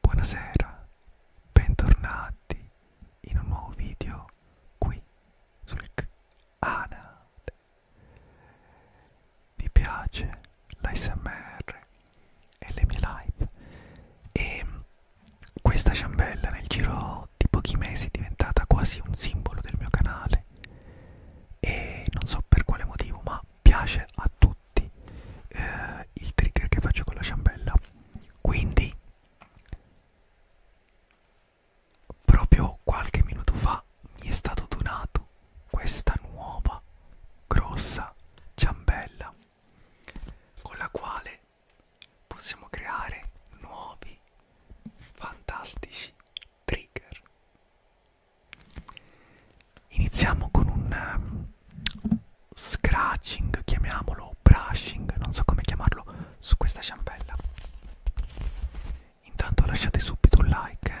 Buonasera, bentornati in un nuovo video qui sul canale. Vi piace l'ASMR e le mie live? E questa ciambella nel giro di pochi mesi è diventata quasi un simbolo del mio canale e non so per quale motivo ma piace a tutti eh, il trigger che faccio con la ciambella quindi Proprio qualche minuto fa mi è stato donato questa nuova grossa ciambella con la quale possiamo creare nuovi fantastici trigger. Iniziamo con un scratching, chiamiamolo, brushing, non so come chiamarlo, su questa ciambella. Intanto lasciate subito un like. Eh.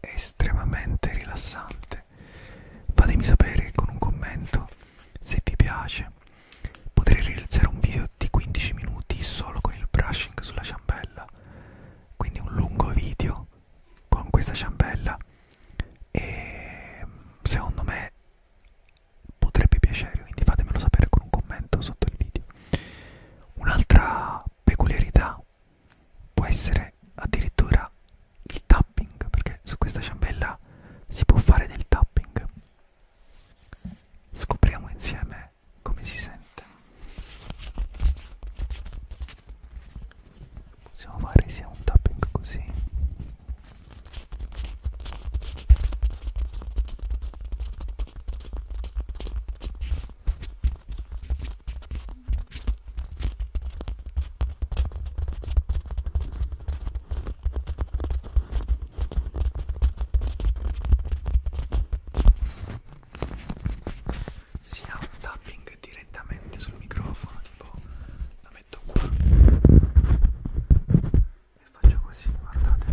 È estremamente rilassante piacere fatemi sapere con un commento se vi piace potrei realizzare un video di 15 minuti solo con il brushing sulla ciambella quindi un lungo video con questa ciambella e secondo me potrebbe piacere quindi fatemelo sapere con un commento sotto il video un'altra peculiarità può essere addirittura il tapping perché su questa ciambella si può fare del tapping scopriamo insieme come si sente possiamo fare sia un tapping così si ha un tapping direttamente sul microfono tipo la metto qua e faccio così guardate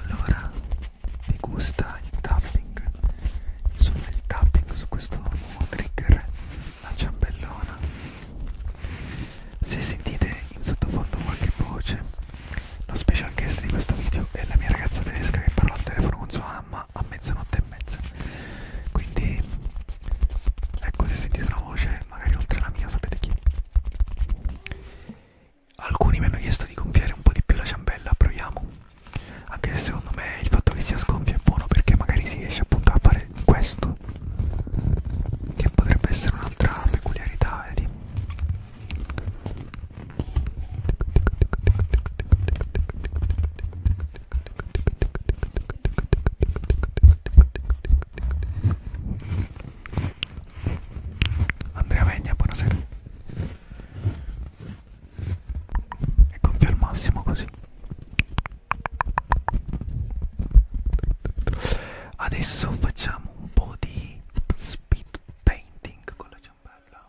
Allora, mi gusta il tapping, insomma il tapping su questo nuovo trigger, la ciambellona. Se sentite in sottofondo qualche voce, lo special guest di questo video è la mia ragazza tedesca che parla al telefono con sua mamma ma a mezzanotte e mezza quindi ecco se sentite una voce magari oltre la mia sapete chi alcuni mi hanno chiesto di gonfiare un po' di più la ciambella proviamo anche se secondo me il fatto che sia sgonfia è buono perché magari si riesce appunto a fare questo che potrebbe essere un'altra peculiarità vedi Andrea Vegna, buonasera. E compie al massimo così. Adesso facciamo un po' di speed painting con la ciambella.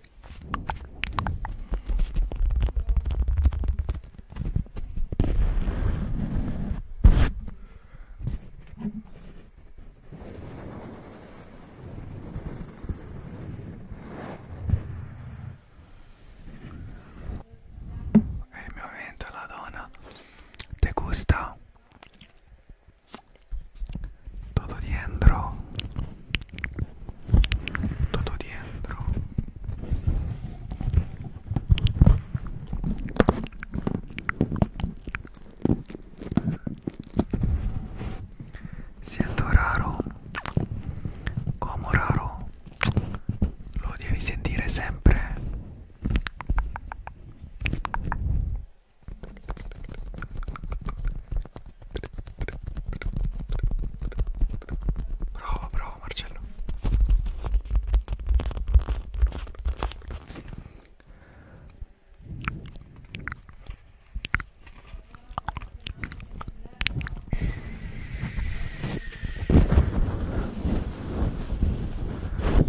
E eh, il mio momento la donna te gusta tutto dentro tutto dentro siento raro como raro lo devi sentire sempre Bravo, bravo Marcello.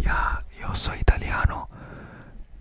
Ya, yeah, yo soy italiano.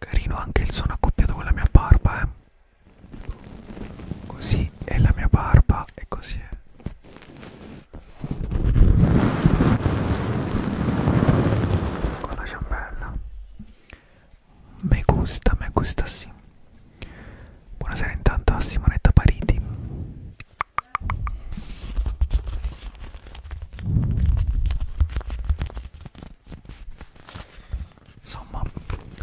Carino anche il suono accoppiato con la mia barba, eh. Così è la mia barba e così è. Con la ciambella. Me gusta, me gusta sì. Buonasera intanto a Simonetta Pariti. Insomma,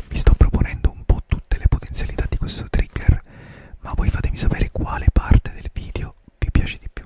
vi sto proponendo un po' tutte le potenzialità di questo trigger, ma voi fatemi sapere quale parte del video vi piace di più.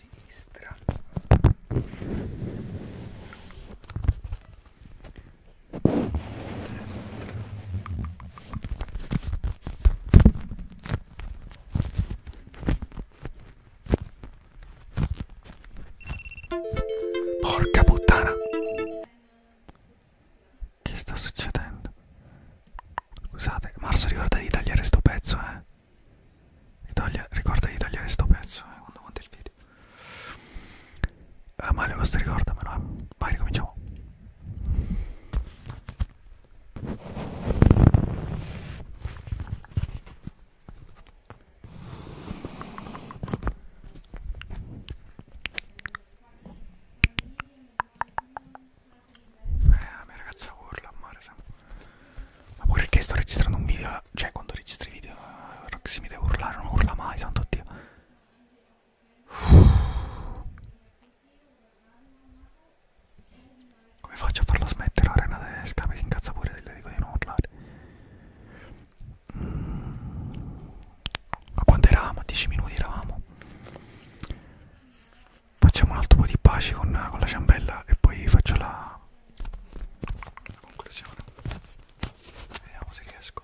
sinistra destra Porca puttana! Che sta succedendo? Scusate, Marzo ricorda di tagliare sto pezzo, eh? Taglia, ricorda di tagliare sto pezzo eh, quando monti il video. Eh, ah, male questo ricordamelo, eh. Vai, ricominciamo. Eh, la mia ragazza urla a mare sempre. Ma pure perché sto registrando un video, cioè quando registri video Roxy eh, mi deve urlare, non urla mai, santo Dio. Come faccio a farla smettere la rena tedesca? Mi si incazza pure se le dico di non urlare. Ma quando eravamo? A 10 minuti eravamo facciamo un altro po' di pace con, con la ciambella e poi faccio la, la conclusione vediamo se riesco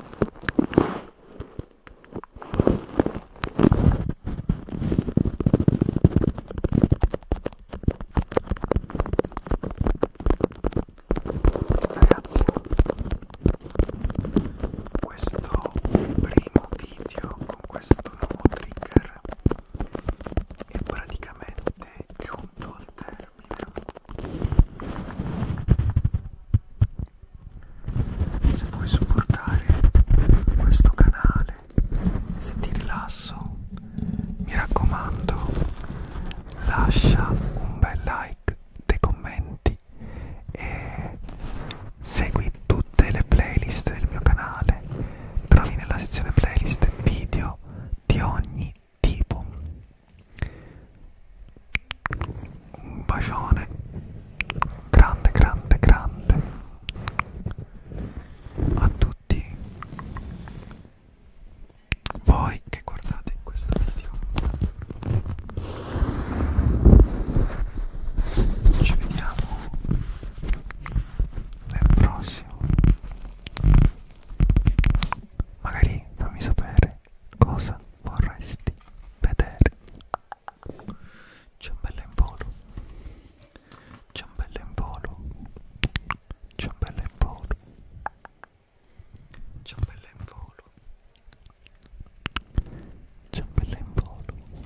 Ragazzi, questo primo video con questo nuovo trigger è praticamente giunto al termine se vuoi supportare questo canale se ti rilasso mi raccomando lascia un bel like dei commenti e segui tutte le playlist del mio canale trovi nella sezione playlist video di ogni tipo un bacione grande grande grande a tutti voi che guardate questo video ci vediamo nel prossimo Magari fammi sapere cosa vorresti vedere. Ciambella in volo. Ciambella in volo. Ciambella in volo. Ciambella in volo. Ciambella in volo.